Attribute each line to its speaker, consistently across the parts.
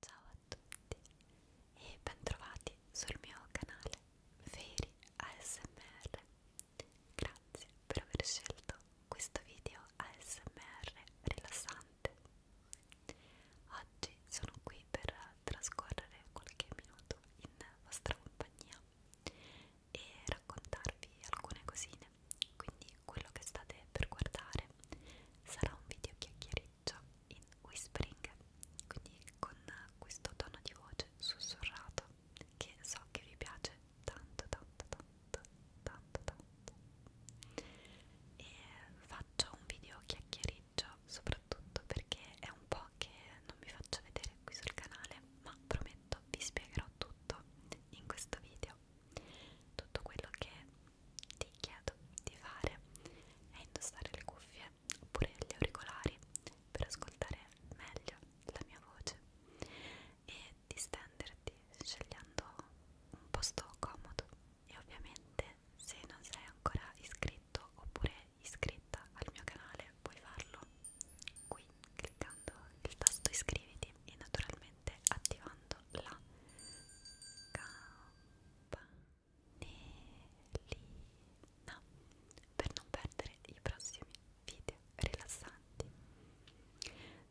Speaker 1: Ciao a tutti e bentrovati sul mio canale Feri ASMR. Grazie per aver scelto questo video ASMR rilassante. Oggi sono qui per trascorrere qualche minuto in vostra compagnia e raccontarvi alcune cosine. Quindi quello che state per guardare sarà un video chiacchiericcio in whispering, quindi con questo tono di voce sussurrato che so che vi piace tanto tanto tanto tanto tanto e faccio un video chiacchieriggio soprattutto perché è un po' che non mi faccio vedere qui sul canale ma prometto vi spiegherò tutto in questo video tutto quello che ti chiedo di fare è indossare le cuffie oppure gli auricolari per ascoltare meglio la mia voce e distenderti scegliendo un posto comodo e ovviamente se non sei ancora iscritto oppure iscritta al mio canale puoi farlo qui cliccando il tasto iscriviti e naturalmente attivando la campanella campanellina per non perdere i prossimi video rilassanti.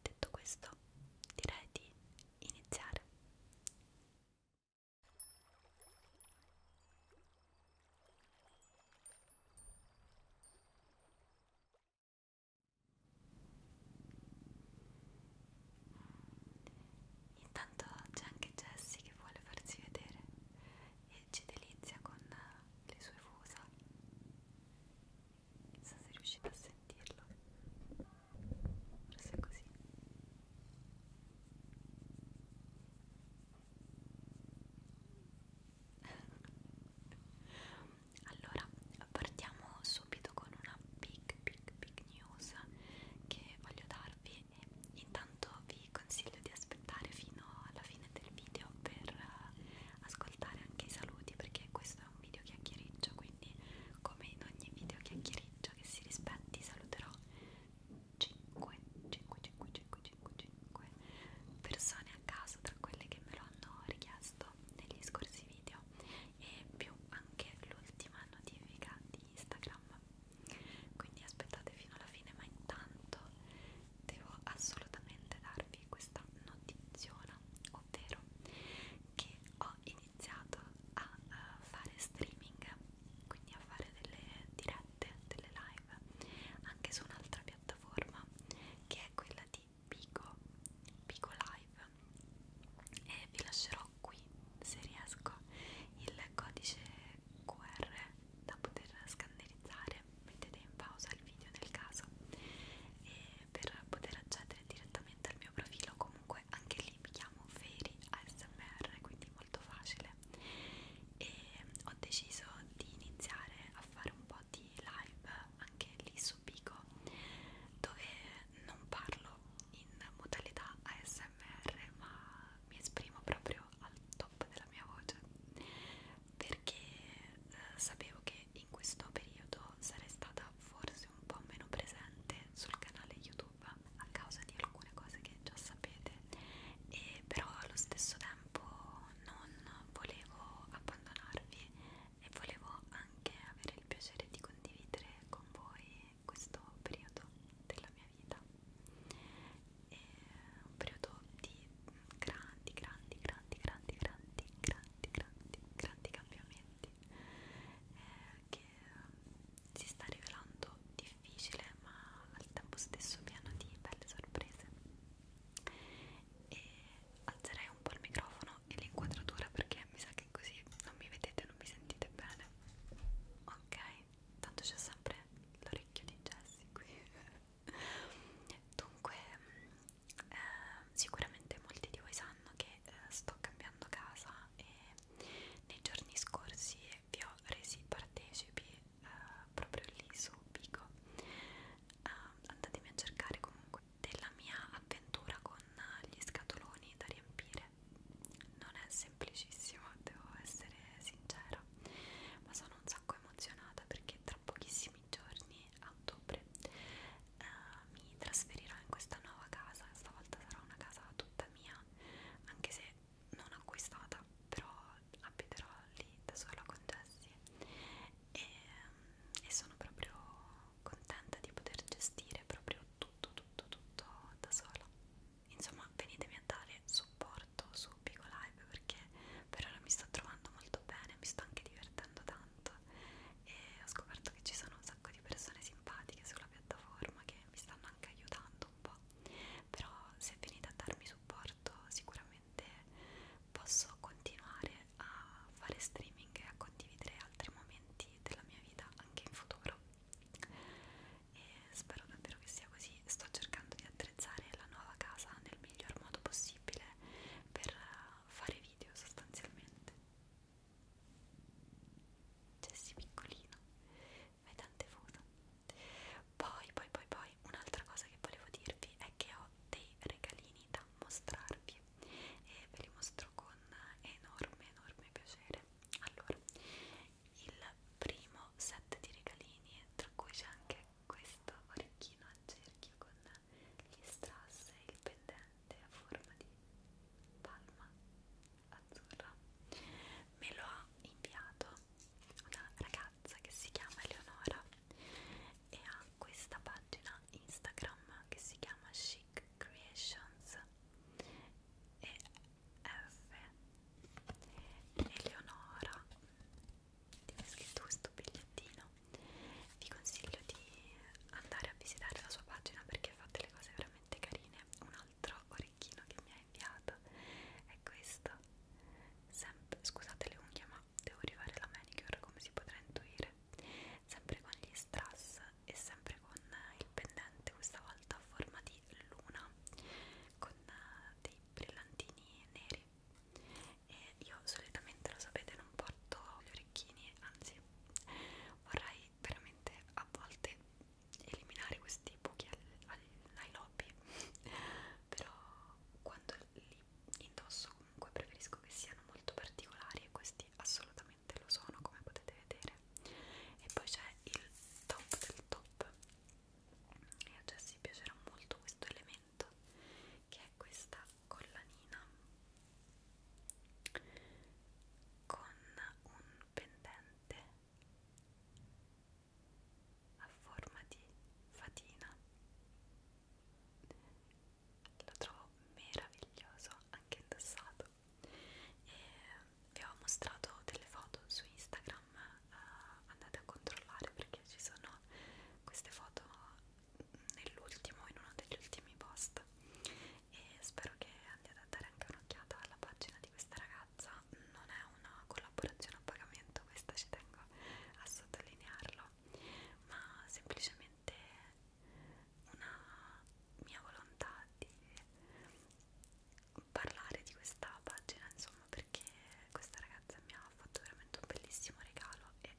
Speaker 1: Detto questo, direi di iniziare. Intanto c'è anche Jessie che vuole farsi vedere e ci delizia con le sue fusa. Non so se riuscite a sentirlo. Forse è così. allora partiamo su subito con una big big big news che voglio darvi e intanto vi consiglio di aspettare fino alla fine del video per eh, ascoltare anche i saluti perché questo è un video chiacchiericcio quindi come in ogni video chiacchiericcio che si rispetti saluterò 5 5 5 5 5 5 persone a caso tra quelle che me lo hanno richiesto negli scorsi video e più anche l'ultima notifica di Instagram quindi aspettate fino alla fine ma intanto devo assolutamente darvi questa notiziona ovvero che ho iniziato a eh, fare streaming quindi a fare delle dirette, delle live anche su un'altra piattaforma che è quella di Pico Pico Live live e vi lascerò qui se riesco il codice QR da poter scannerizzare mettete in pausa il video nel caso e per poter accedere direttamente al mio profilo comunque anche lì mi chiamo Feri ASMR quindi molto facile e ho deciso di iniziare a fare un po' di live anche lì su Pico dove non parlo in modalità ASMR ma mi esprimo proprio al top della mia voce perché eh, sapevo che in questo periodo sarei stata forse un po' meno presente sul canale YouTube a causa di alcune cose che già sapete e però allo stesso tempo non volevo abbandonarvi e volevo anche avere il piacere di condividere con voi questo periodo della mia vita è un periodo di grandi, grandi, grandi, grandi, grandi, grandi, grandi, grandi cambiamenti eh, che si sta rivelando difficile ma al tempo stesso pieno di belle sorprese e alzerei un po' il microfono e l'inquadratura perché mi sa che così non mi vedete, non mi sentite bene ok, tanto c'è sempre l'orecchio di Jessie qui dunque eh, sicuramente molti di voi sanno che eh, sto cambiando casa e nei giorni scorsi vi ho resi partecipi eh, proprio lì su Bigo eh, andatemi a cercare comunque della mia avventura con gli scatoloni da riempire non è semplicissimo, devo essere sincera, ma sono un sacco emozionata perché tra pochissimi giorni, a ottobre, eh, mi trasferirò in questa nuova casa, stavolta sarà una casa tutta mia, anche se non acquistata, però abiterò lì da sola con Jessie e, mm, e sono proprio contenta di poter gestire proprio tutto tutto tutto da sola insomma venitemi a dare supporto su Pico Live perché per ora mi sto trovando molto bene mi sto anche divertendo tanto e ho scoperto che ci sono un sacco di persone simpatiche sulla piattaforma che mi stanno anche aiutando un po' però se venite a darmi supporto sicuramente posso continuare a fare streaming e a condividere altri momenti della mia vita anche in futuro e spero davvero che sia così sto cercando di attrezzare la nuova casa nel miglior modo possibile per eh, fare video sostanzialmente Jessie cioè, piccolino fai tante foto poi poi poi poi un'altra cosa che volevo dirvi è che ho dei regalini da mostrarvi e ve li mostro mostro con enorme enorme piacere allora il primo set di regalini tra cui c'è anche questo orecchino a cerchio con gli strass e il pendente a forma di palma azzurra me lo ha inviato una ragazza che si chiama Eleonora e ha questa pagina Instagram che si chiama She Magic Creations e F Eleonora ti ho scritto questo bigliettino vi consiglio di andare a visitare la sua pagina perché fa delle cose veramente carine un altro orecchino che mi ha inviato è questo sempre, scusate le unghie ma devo rifare la manicure come si potrà intuire sempre con gli strass e sempre con il pendente questa volta a forma di luna con eh, dei brillantini neri e io solitamente lo sapete non porto gli orecchini anzi vorrei veramente a volte eliminare questi buchi al, al, ai lobby però quando li indosso comunque preferisco che siano molto particolari e questi assolutamente ovviamente lo sono come potete vedere e poi c'è il top del top e a Jessie piacerà molto questo elemento che è questa collanina con un pendente a forma di fatina lo trovo meraviglioso anche indossato e vi ho mostrato delle foto su Instagram uh, andate a controllare perché ci sono queste foto nell'ultimo in uno degli ultimi post e spero che andiate a dare anche un'occhiata alla pagina di questa ragazza non è una collaborazione a pagamento questa ci tengo a sottolinearlo ma semplicemente una mia volontà di parlare di questa pagina insomma perché questa ragazza mi ha fatto veramente un bellissimo regalo e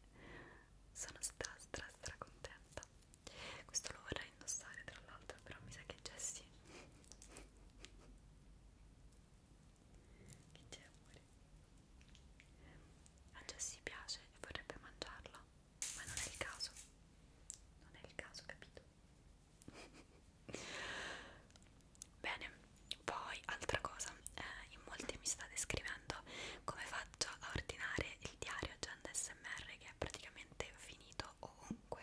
Speaker 1: sono stra stra stra contenta questo lo vorrei indossare tra l'altro però mi sa che c'è sì che c'è amore? a Jessie piace e vorrebbe mangiarlo ma non è il caso non è il caso capito Bene, poi altra cosa, eh, in molti mi state scrivendo come faccio a ordinare il diario Agenda SMR che è praticamente finito ovunque,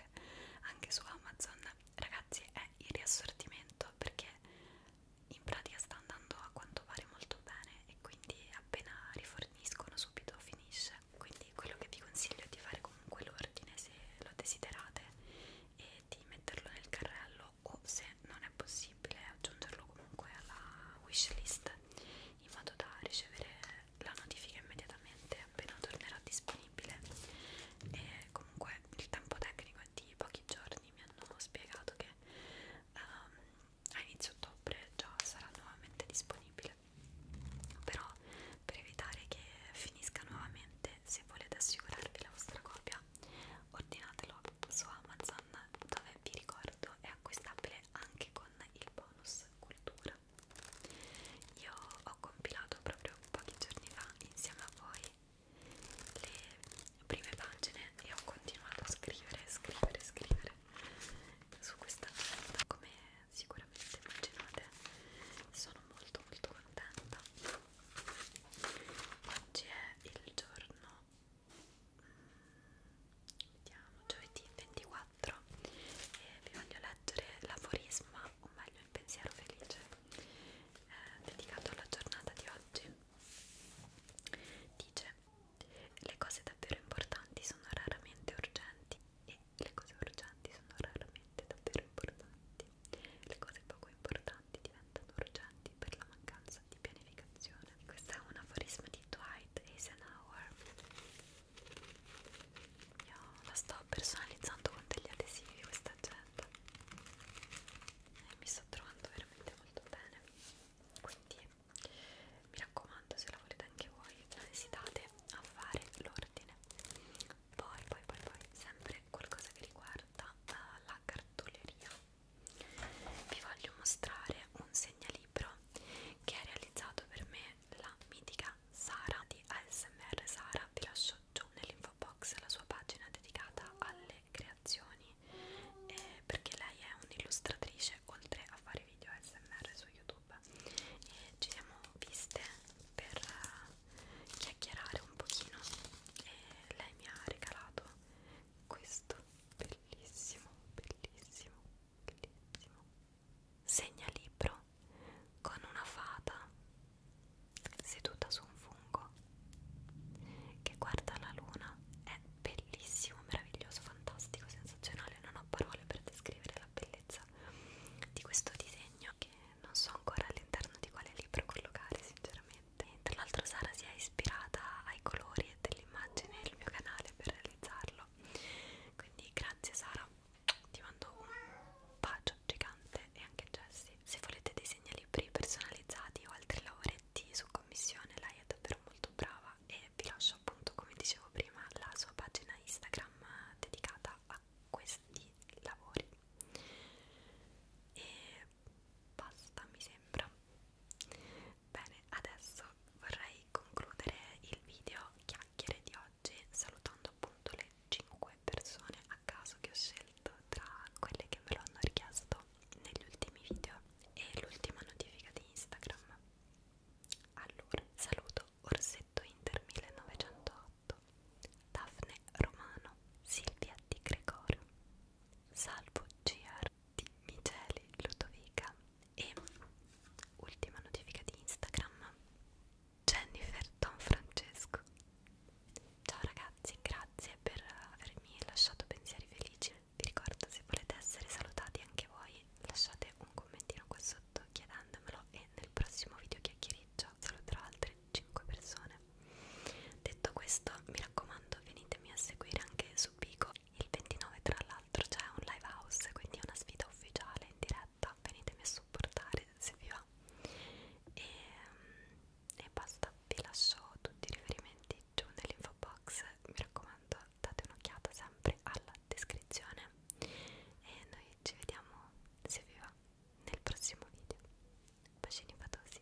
Speaker 1: anche su Amazon. Ragazzi, è il riassortimento perché in pratica sta andando a quanto pare molto bene e quindi appena riforniscono subito finisce quindi quello che vi consiglio è di fare comunque l'ordine se lo desiderate e di metterlo nel carrello o se non è possibile aggiungerlo comunque alla wishlist in modo da ricevere la notifica immediatamente appena tornerà disponibile e comunque il tempo tecnico è di pochi giorni mi hanno spiegato che um, a inizio ottobre già sarà nuovamente disponibile utile però per evitare che finisca nuovamente se volete assicurarvi la vostra copia ordinatelo su Amazon dove vi ricordo è acquistabile anche con il bonus cultura io ho compilato proprio pochi giorni fa insieme a voi le prime pagine e ho continuato a scrivere, scrivere, scrivere su questa carta come sicuramente immaginate sono molto molto contenta oggi è il giorno mm, vediamo giovedì 24 e vi voglio leggere l'aforisma o meglio il pensiero felice eh, dedicato alla giornata di oggi dice le cose davvero importanti sono raramente urgenti e le cose urgenti sono raramente davvero importanti. Le cose poco importanti diventano urgenti per la mancanza di pianificazione. Questo è un aforisma di Dwight Eisenhower. Io la sto personalizzando con degli adesivi questa agenda e mi sto trovando veramente molto bene. Quindi mi raccomando, se la volete anche voi, la esitate a fare l'ordine poi poi poi poi sempre qualcosa che riguarda uh, la cartoleria vi voglio mostrare un segnalibro che ha realizzato per me la mitica Sara di ASMR Sara vi lascio giù nell'info box la sua pagina dedicata alle creazioni eh, perché lei è un'illustratrice oltre a fare video ASMR su YouTube YouTube e ci siamo viste per eh, chiacchierare un pochino e lei mi ha regalato questo bellissimo, bellissimo, bellissimo segnalibro con una fata seduta su un fungo che guarda la luna è bellissimo, meraviglioso, fantastico, sensazionale non ho parole per descrivere la bellezza di questo disegno che non so ancora all'interno di quale libro collocare sinceramente e tra l'altro Sara si è ispirata ai colori e dell'immagine del mio canale per realizzarlo quindi grazie Sara ti mando un bacio gigante e anche Jessie se volete dei segnalibri personalizzati o altri lavoretti su commissione lei è davvero molto brava e vi lascio appunto come dicevo prima la sua pagina Instagram dedicata dedicata a questi lavori e basta mi sembra bene adesso vorrei concludere il video chiacchiere di oggi salutando appunto le 5 persone a caso che ho scelto tra quelle che me lo hanno richiesto negli ultimi video e l'ultima notifica di Instagram allora saluto Orsetto Inter 1908, Daphne Romano, Silvia Di Gregorio, Salvo GR di Micheli Ludovica e ultima notifica di Instagram Jennifer Don Francesco. Ciao ragazzi, grazie per avermi lasciato pensieri felici. Vi ricordo se volete essere salutati anche voi, lasciate un commentino a questo sotto chiedendomelo e nel prossimo video chiacchiereggio saluterò altre 5 persone. Detto questo, mi raccomando, venitemi a seguire anche su Pico. Il 29 tra l'altro c'è un live house, quindi è una sfida ufficiale in diretta, venitemi a supportare se vi va. E, mm, e basta, vi lascio tutti i riferimenti giù nell'info box, mi raccomando date un'occhiata sempre alla descrizione e noi ci vediamo se vi va nel prossimo video bacini fatosi